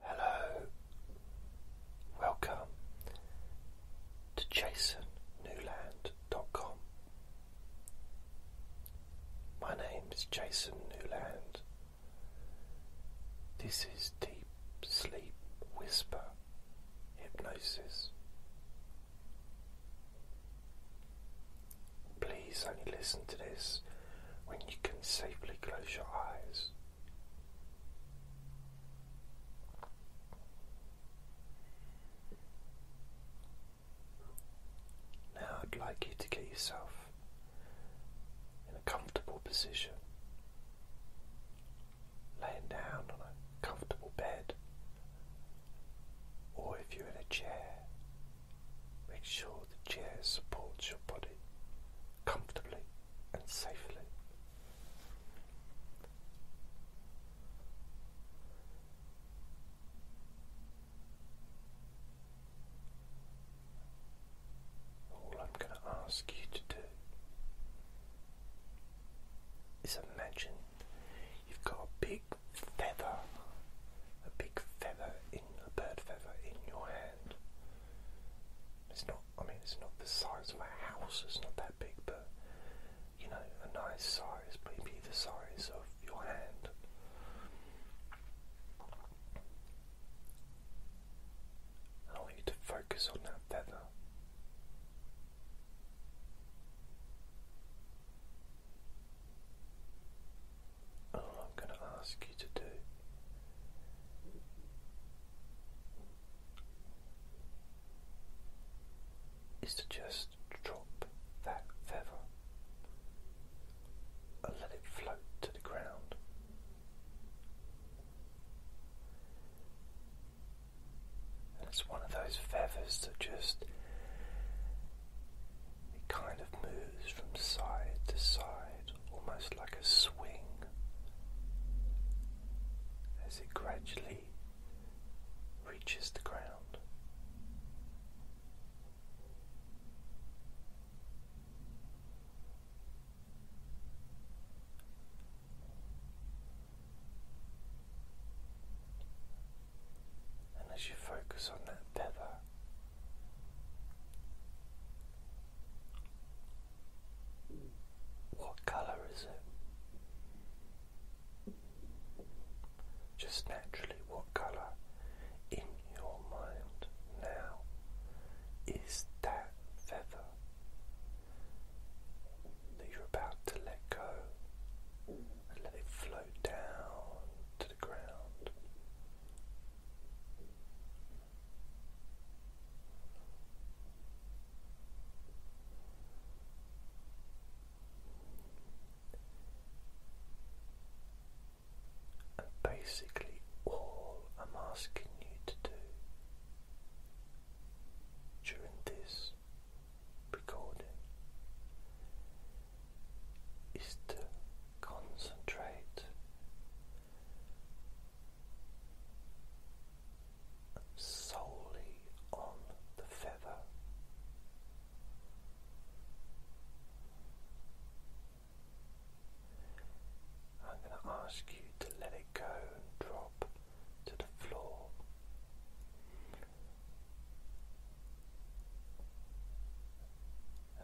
Hello, welcome to jasonnewland.com. My name is Jason Newland. This is Deep Sleep Whisper Hypnosis. Please only listen to this when you can safely close your eyes. Now I'd like you to get yourself in a comfortable position, laying down on a comfortable bed, or if you're in a chair, make sure the chair supports your body comfortably and safely. All I'm going to ask you to do is imagine you've got a big feather, a big feather in a bird feather in your hand. It's not, I mean, it's not the size of a house, it's not that big, but you know, a nice size, maybe the size of your hand. I want you to focus on that feather all oh, I'm going to ask you to do is to just drop that feather and let it float to the ground. it's one of those feathers that just it kind of moves from side to side, almost like a swing, as it gradually reaches the ground. And as you focus on that feather, what colour is it? Just naturally, what colour in your mind now is that feather that you're about to let go and let it float down to the ground? And basically, all I'm asking you to do during this recording is to concentrate solely on the feather. I'm going to ask you to let it go and drop to the floor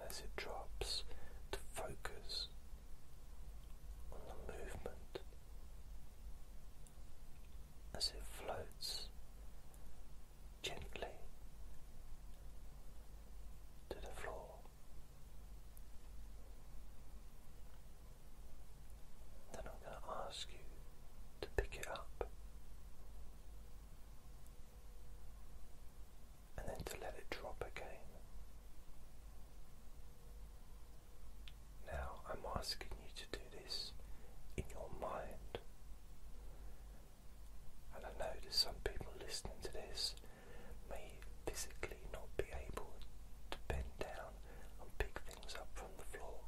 as it drops to focus on the movement as it floats gently to the floor. Then I'm going to ask you to pick it up and then to let it drop again. Now I'm asking you to do this in your mind. And I know that some people listening to this may physically not be able to bend down and pick things up from the floor.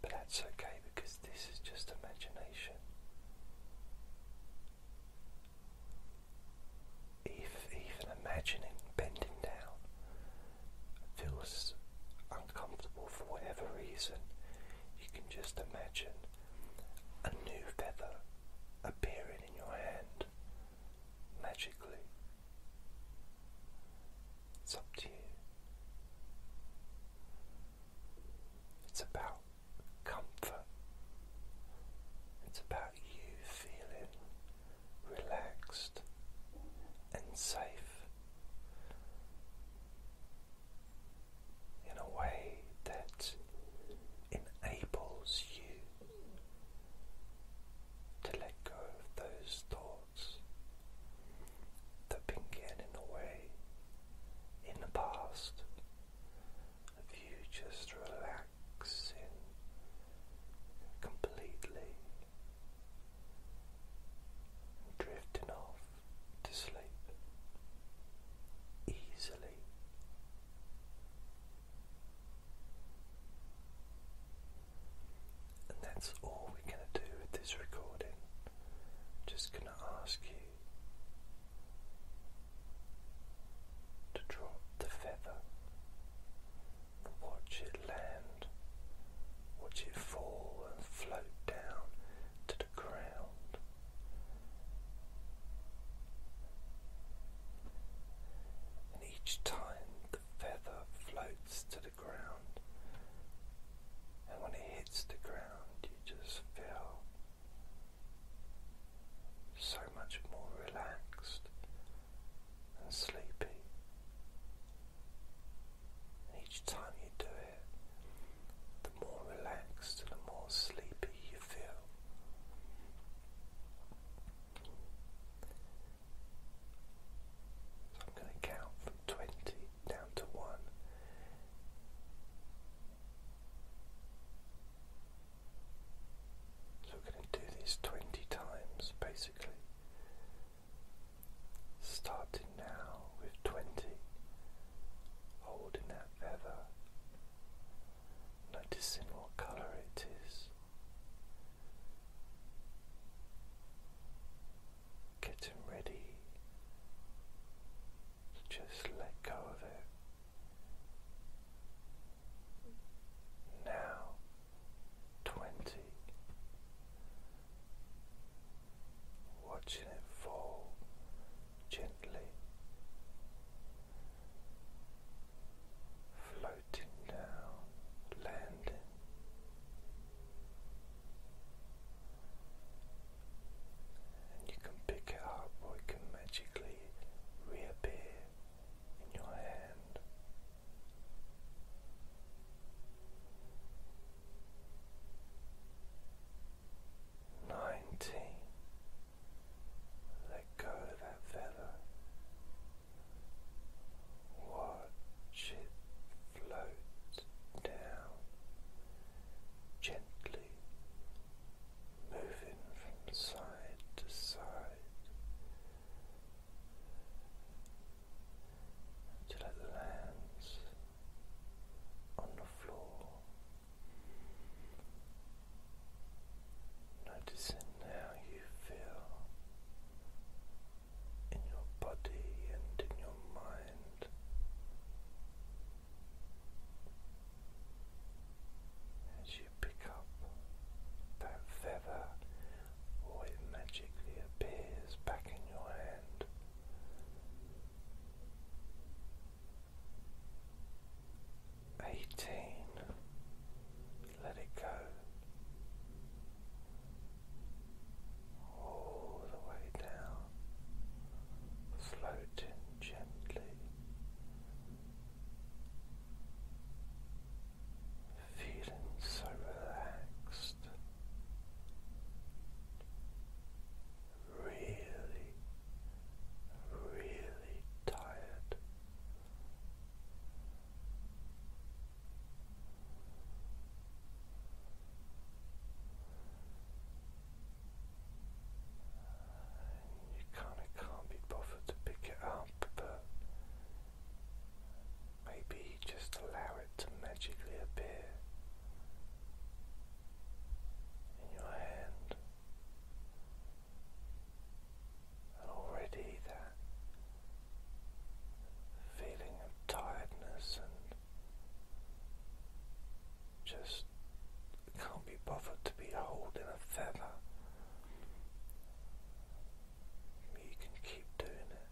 But that's okay because this is just imagination. If even imagining bending down feels uncomfortable for whatever reason, you can just imagine a new feather appearing in your hand magically. It's up to you. It's about comfort. It's about you feeling relaxed and safe in a way that enables you to let go of those thoughts that have in the way in the past of you just relaxing completely and drifting off to sleep easily. And that's all we're going to do with this recording. Just going to ask you to drop the feather, watch it land, watch it fall and float down to the ground. And each time the feather floats to the ground, and when it hits the ground, just feel so much more relaxed and sleepy. And each time you do it, the more relaxed and the more sleepy you feel. So I'm going to count from 20 down to one. So we're going to do these 20 times basically. Starting now with 20, holding that feather, noticing what colour it is getting ready to just let go of it. Now, twenty, watching it fall gently, floating down, landing and you can pick it up or it can magically reappear in your hand. Nineteen. Let go of that feather. Watch it float down, gently moving from side to side until it lands on the floor. Noticing how you feel in your body and in your mind. As you pick up that feather, or it magically appears back in your hand. Eighteen, let it go all the way down, floating gently, feeling so relaxed, really, really tired. And you kind of can't be bothered to pick it up, but maybe just allow it to magically appear in your hand. already that feeling of tiredness and just can't be bothered to be holding a feather. You can keep doing it.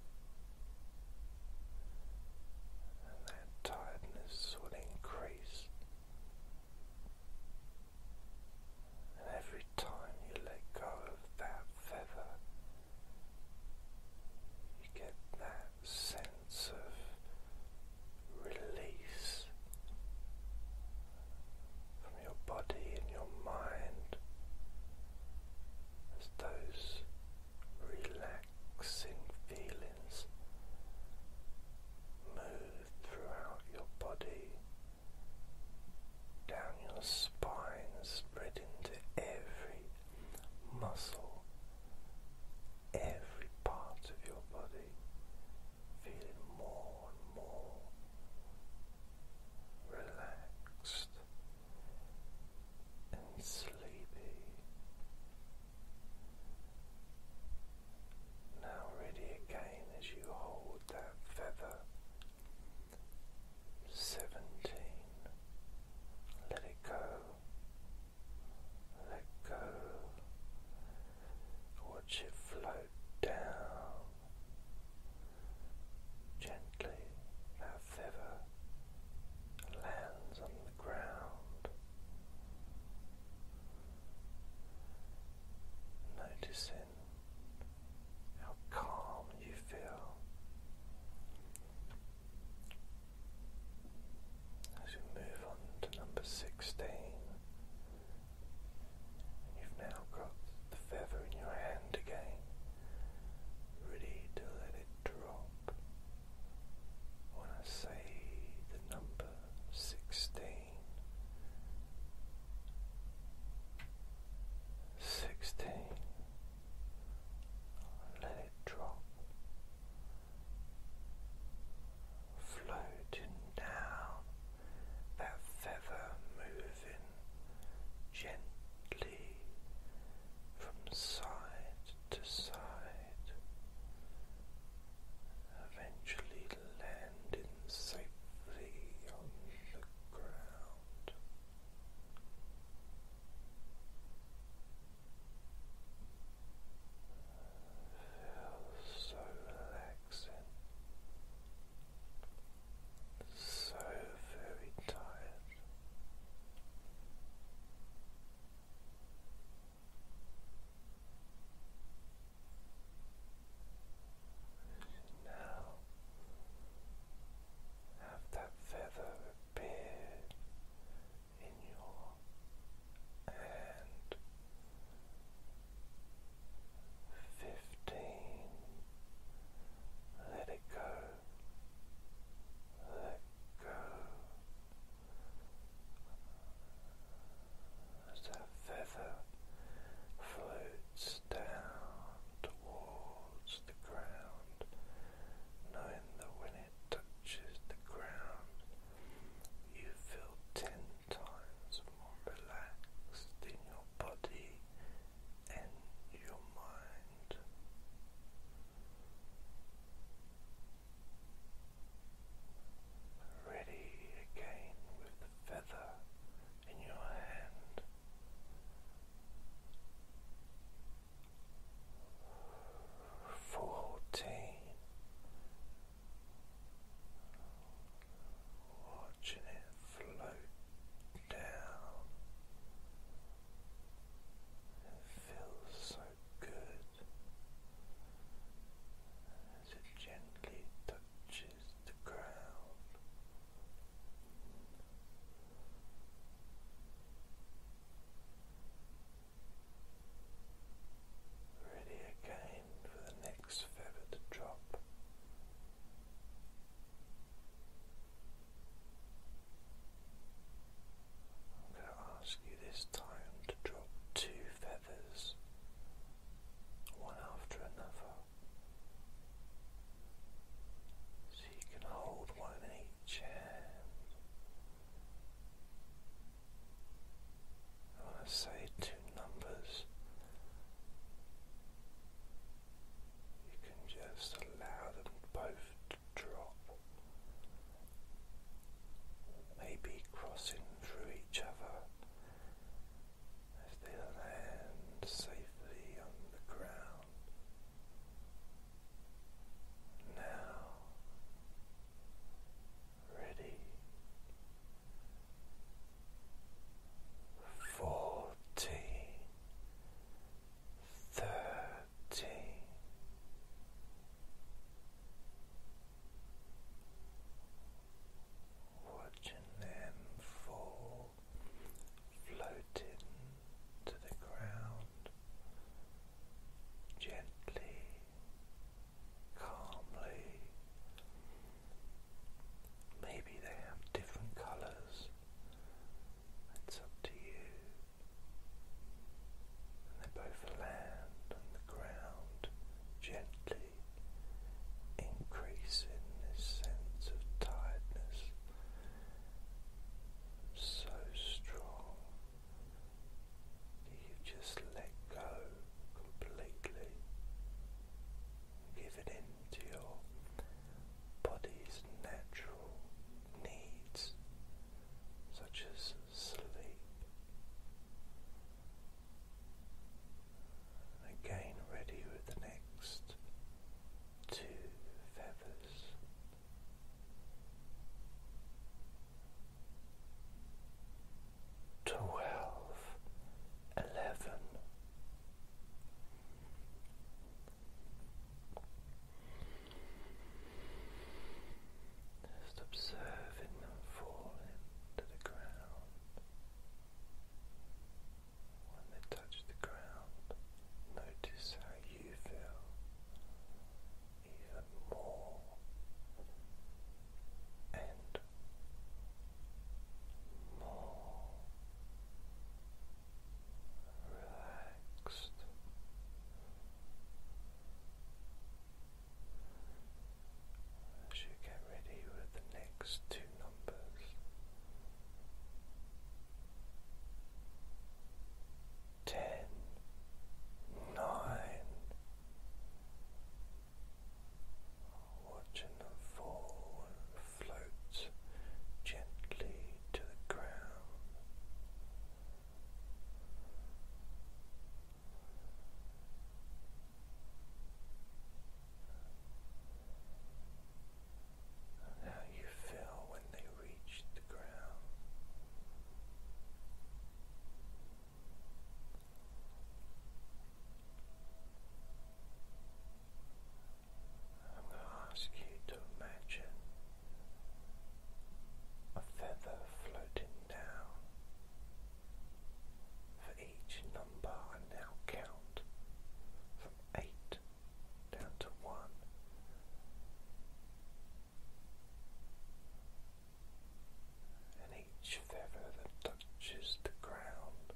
And that tiredness will increase. And every time you let go of that feather, you get that sense of release from your body and your mind as those relaxing feelings move throughout your body. Down your spine, spread into every muscle, every part of your body feeling more and more relaxed and sleepy. Now, ready again as you hold that feather seventeen, let it go, let go, watch it float down gently. That feather lands on the ground. Noticing how calm you feel as we move on to number 16. You've now got the feather in your hand again, ready to let it drop. When I say the number 16, 16 let it drop, floating down, that feather moving gently from side to side, eventually landing safely on the ground. Feels so relaxing, so very tired. Now have that feather appear in your hand. Fifteen. Let it go. Let go. As that feather floats down towards towards the ground, knowing that when it touches the ground, you feel ten times more relaxed in your body and your mind. Ready again with the feather in your hand. Fourteen, watching it float down. It feels so good as it gently touches the ground. Ready again for the next feather to drop. I'm going to ask you this time to drop two feathers, one after another. So you can hold one in each hand. I want to say two numbers, you can just allow them both to drop, maybe crossing through each other as they land safely on the ground. Now, ready fourteen, thirteen. Watching them fall floating to the ground gently, calmly. Maybe they have different colours, it's up to you. they both land on the ground gently increasing this sense of tiredness so strong that you just let go completely, giving in to your body's natural needs such as sleep. Again, ready with the next two feathers. Twelve, eleven. Just observing them falling to the ground. When they touch the ground, notice how you feel even more and more relaxed as you get ready with the next two numbers. Ten, nine, watching them fall and float gently to the ground how you feel when they reach the ground. I'm going to ask you to imagine a feather floating down for each number now count from 8 down to 1. And each feather that touches the ground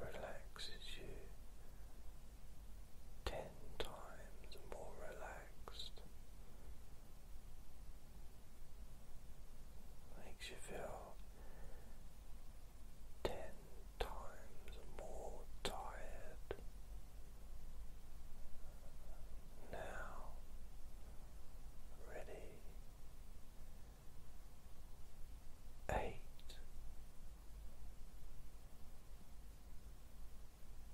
relaxes you ten times more relaxed Makes you feel ten times more tired now, ready eight